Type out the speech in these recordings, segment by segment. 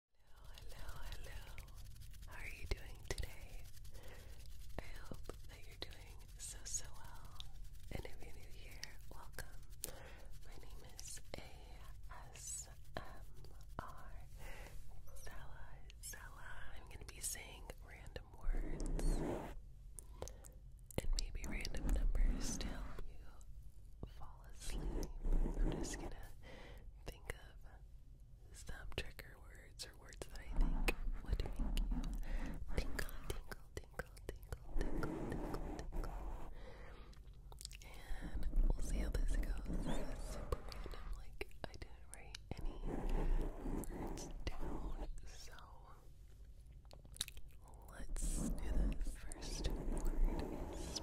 Hello, hello. How are you doing today? I hope that you're doing so, so well. And if you're new here, welcome. My name is ASMR Zella. Zella. I'm going to be saying random words and maybe random numbers to help you fall asleep. I'm just going to think of some trigger words or words that I think would make you tingle, tingle, tingle, tingle, tingle, tingle, tingle. And we'll see how this goes. super random. Like I didn't write any words down, so let's do this. First word is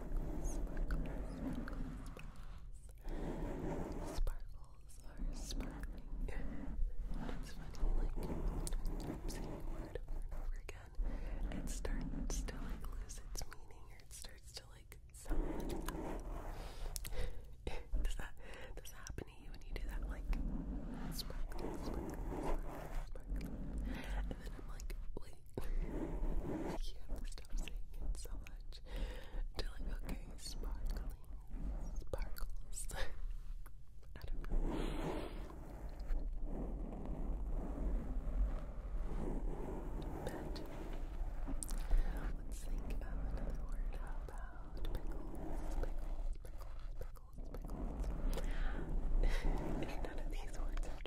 sparkles. are sparkling. It's funny, like, saying a word over and over again, it starts to, like, lose its meaning, or it starts to, like, sound does that, does that happen to you when you do that, like, sparkle, sparkle, sparkle, and then I'm like, wait, I can't stop saying it so much. like okay, sparkling sparkles. But um, let's think of another word. about pickles? Pickles, pickles, pickles, pickles. None of these words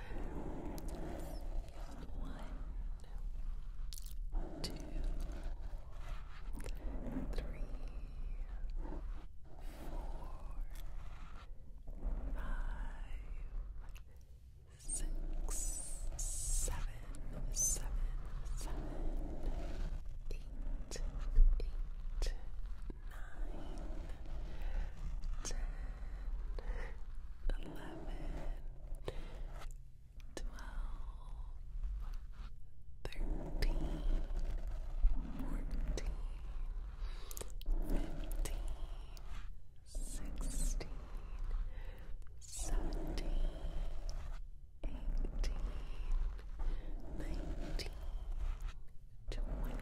One, two, three, four, five, six, seven, seven, seven, eight, eight, nine, ten. 11 eleven, twelve, thirteen, fourteen, fifteen, sixteen, seventeen, eighteen, nineteen strawberry,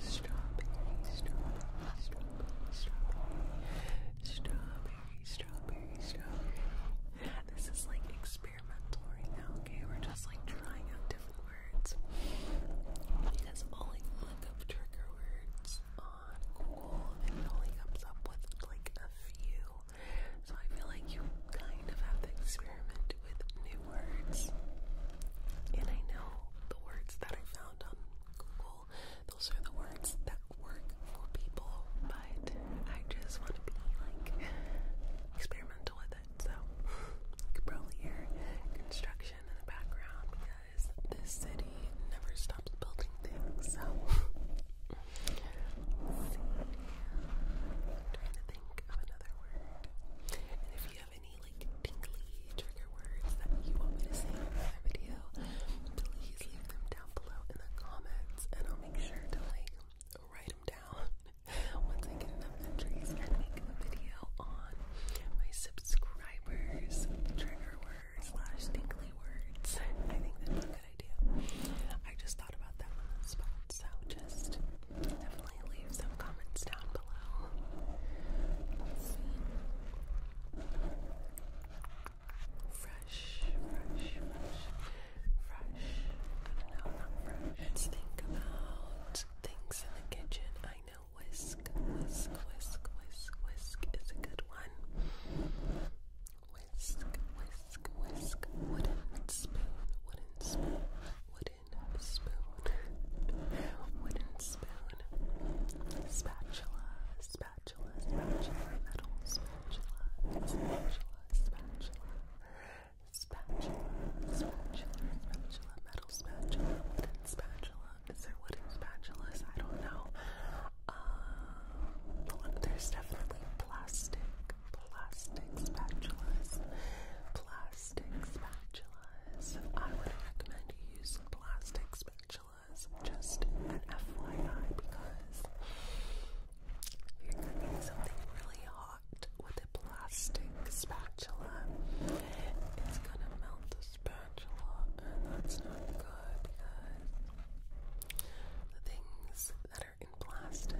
strawberry, strawberry, strawberry, strawberry, strawberry. This is like experimental now, okay? We're just like trying out different words. Because i look up trigger words on Google and it only comes up with like a few. So I feel like you kind of have to experiment with new words. And I know the words that I found on Google, those are the words that work for people, but I just want to be like experimental with it. So you could probably hear construction in the background because this city never stops building things. So trying to think of another word. And if you have any like tingly trigger words that you want me to say in another video, please leave them down below in the comments and I'll make sure to like write them down once I get enough entries and make a video on my subscribers trigger word slash words. I think that's a good idea. I just thought about that on the spot, so just definitely leave some comments down below. Fresh, fresh, fresh, fresh. I know, Let's think about things in the kitchen. I know whisk, whisk, whisk, whisk, whisk is a good one. Whisk, whisk, whisk, wooden spoon, wooden spoon, wooden spoon, wooden spoon, spatula, spatula spatula, spatula, metal spatula, spatula, spatula, spatula, spatula, spatula, metal spatula, wooden spatula. Is there wooden spatulas? I don't know. Um, but look, there's definitely plastic, plastic spatulas, plastic spatulas. I would recommend you use plastic spatulas just an FYI because you're cooking something really hot with a plastic spatula. It's gonna melt the spatula, and that's not good because the things that are in plastic,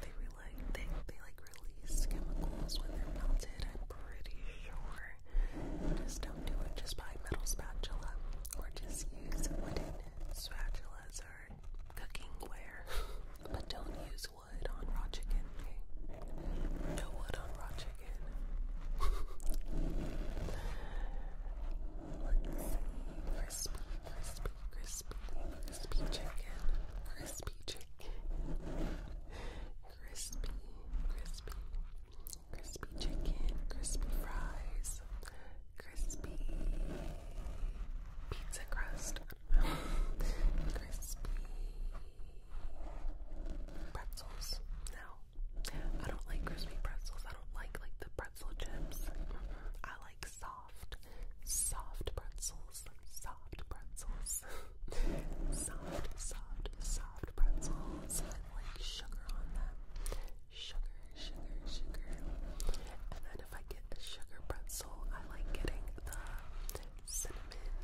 they, re they, they like release chemicals when they're melted. I'm pretty sure. Just don't do it just buy metal spatula or just use wooden spatulas or ware. but don't use wood on raw chicken, No wood on raw chicken. Crispy, crispy, crispy, crispy chicken. Crispy chicken. Crispy, crispy, crispy chicken, crispy fries, crispy pizza crust, crispy pretzels. No, I don't like crispy pretzels. I don't like like the pretzel chips. I like soft, soft pretzels, soft pretzels. soft, soft, soft pretzels like sugar on them. Sugar, sugar, sugar. And then if I get the sugar pretzel, I like getting the cinnamon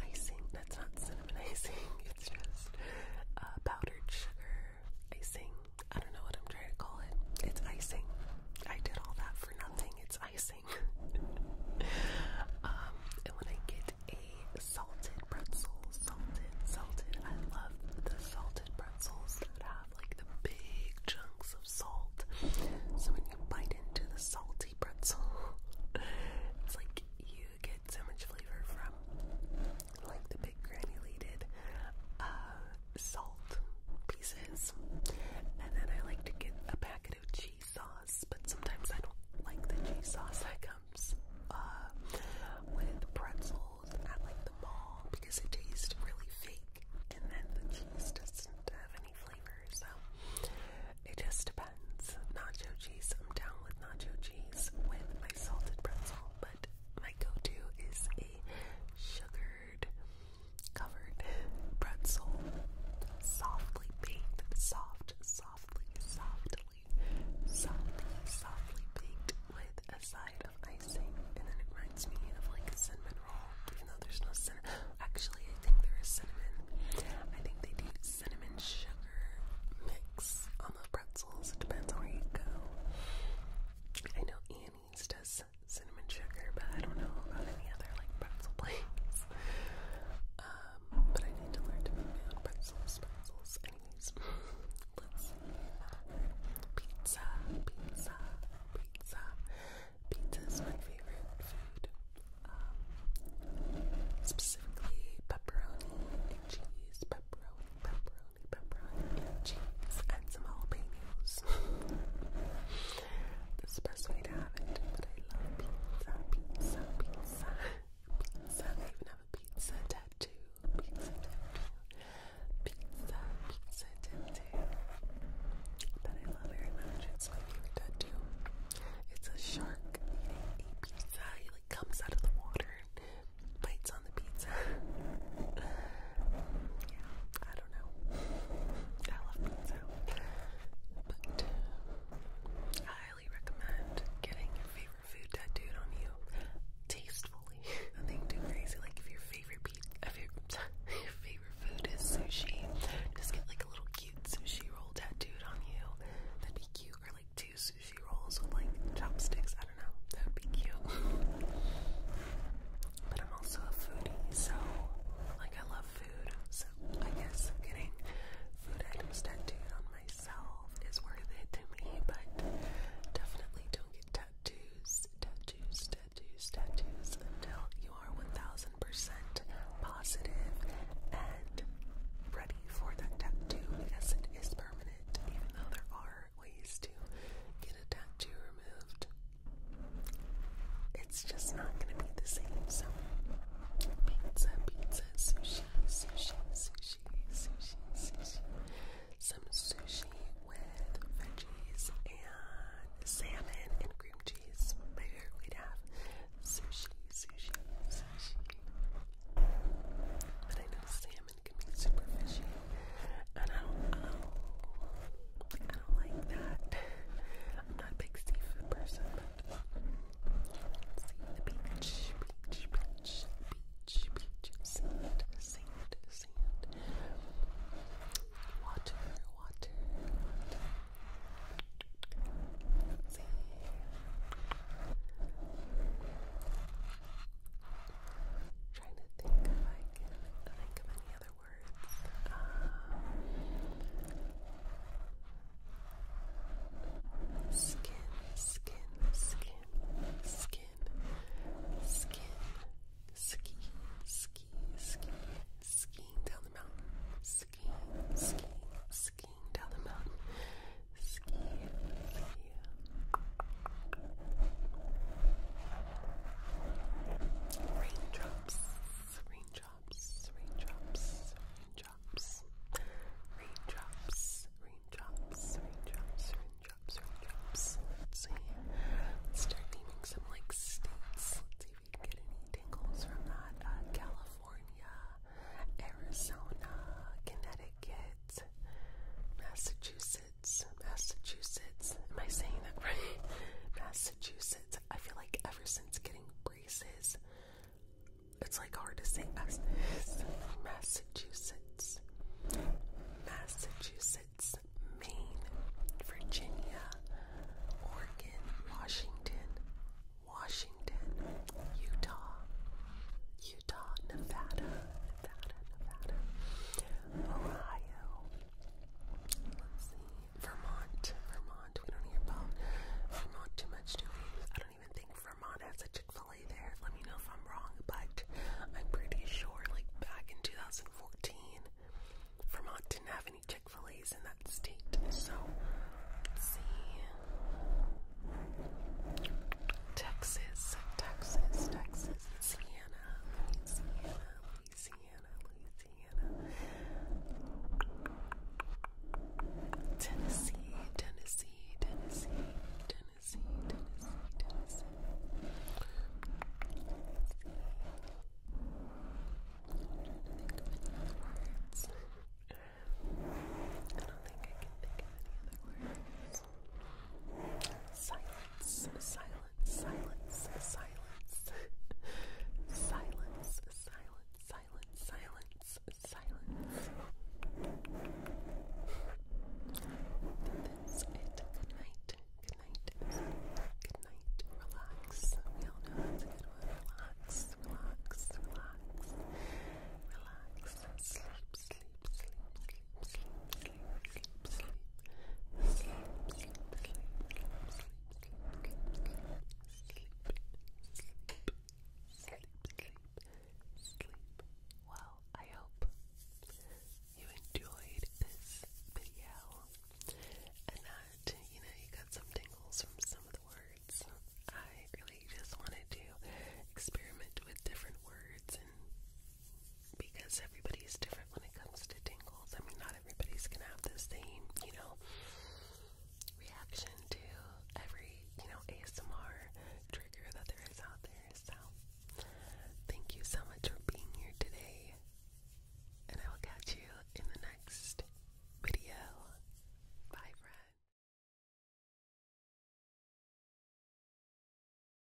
icing. That's not cinnamon icing, it's just uh, powdered sugar icing. I don't know what I'm trying to call it. It's icing. I did all that for nothing. It's icing. Um, and when I get a salted pretzel, salted, salted, I love the salted pretzels that have like the big chunks of salt. So when you bite into the salty pretzel, it's like you get so much flavor from like the big granulated uh, salt pieces. And then I like to get a packet of cheese sauce, but sometimes I don't like the cheese sauce that comes uh, with pretzels at like the mall because it tastes really fake, and then the cheese doesn't have any flavor. So it just depends. Nacho cheese, I'm down with nacho cheese with my salted pretzel, but my go-to is a sugared, covered pretzel, softly baked, soft softly, softly, softly, softly baked with a side of icing. And it reminds me of like a cinnamon roll, even though there's no cinnamon. Actually, I think there is cinnamon. I think they do cinnamon sugar mix on the pretzels. It depends on where you go. I know Annie's does cinnamon sugar, but I don't know about any other like pretzel plates. Um, but I need to learn to make pretzels, pretzels. Anyways, let's see. Pizza, pizza, pizza. Pizza is my favorite food. Um, specifically pepperoni cheese, pepperoni, pepperoni, pepperoni and cheese, and some jalapenos. That's the best way to have it. But I love pizza, pizza, pizza. Pizza. They even have a pizza tattoo. Pizza tattoo. Pizza, pizza tattoo. That I love very much. It's my favorite tattoo. It's a shark eating pizza. He like comes out of the water and bites on the pizza. I don't know. I love pizza but uh, I highly recommend getting your favorite food tattooed on you tastefully. Nothing too crazy. Like if your favorite food is sushi, just get like a little cute sushi roll tattooed on you. That'd be cute. Or like two sushi rolls with like chopsticks. I don't know. That'd be cute. But I'm also a foodie, so like I love food because I guess getting food items tattooed on myself is worth it to me, but definitely don't get tattoos, tattoos, tattoos, tattoos until you are 1000% positive and ready for that tattoo because it is permanent, even though there are ways to get a tattoo removed. It's just not gonna be the same. So pizza, pizza, sushi, sushi, sushi, sushi, sushi. Some sushi with veggies and salmon and cream cheese. My favorite way to have sushi, sushi, sushi. But I know salmon can be super fishy, and I don't. Um, I kind of like that. I'm not a big seafood person, but let beach, beach, beach, beach, beach, sand, sand, sand, water, water, water. trying to think if I can think of any other afterwards. Um, skin, skin, skin, skin, skin, ski, ski, ski, skiing down the mountain, skiing, skiing, skiing down the mountain, ski, ski. Raindrops, raindrops, raindrops, raindrops, raindrops, raindrops, raindrops, raindrops, raindrops. Let's see. Let's start naming some like states. Let's see if we can get any tingles from that. Uh, California, Arizona, Connecticut, Massachusetts, Massachusetts. Am I saying that right? Massachusetts. Massachusetts. I feel like ever since getting braces, it's like hard to say Mass Massachusetts, Massachusetts, Maine, Virginia, Oregon, Washington, Washington, Utah, Utah, Nevada, Nevada, Nevada, Ohio, Let's see. Vermont. Vermont. We don't hear about Vermont too much, do we? I don't even think Vermont has a Chick fil A there. Let me know if I'm wrong, but I'm pretty sure, like back in 2014, Vermont didn't have any Chick fil A's in that state. So, see. Texas. Texas. Texas. Louisiana. Louisiana. Louisiana. Louisiana, Tennessee, Tennessee, Tennessee, Tennessee, Tennessee, Tennessee, I don't think I can think of any other words. Silence, silence, silence, silence. silence, silence, silence, silence, silence. That's it. Good night. Good night. Good night. Relax. We all know that's good Relax, relax, relax. Relax. sleep, sleep, sleep sleep. Well, I hope you enjoyed this video and that, uh, you know, you got some tingles from some of the words. I really just wanted to experiment with different words because everybody's different when it comes to tingles. I mean, not everybody's gonna have the same, you know, reaction to every, you know, ASMR trigger that there is out there. So, thank you so much for being here today, and I will catch you in the next video. Bye, friend.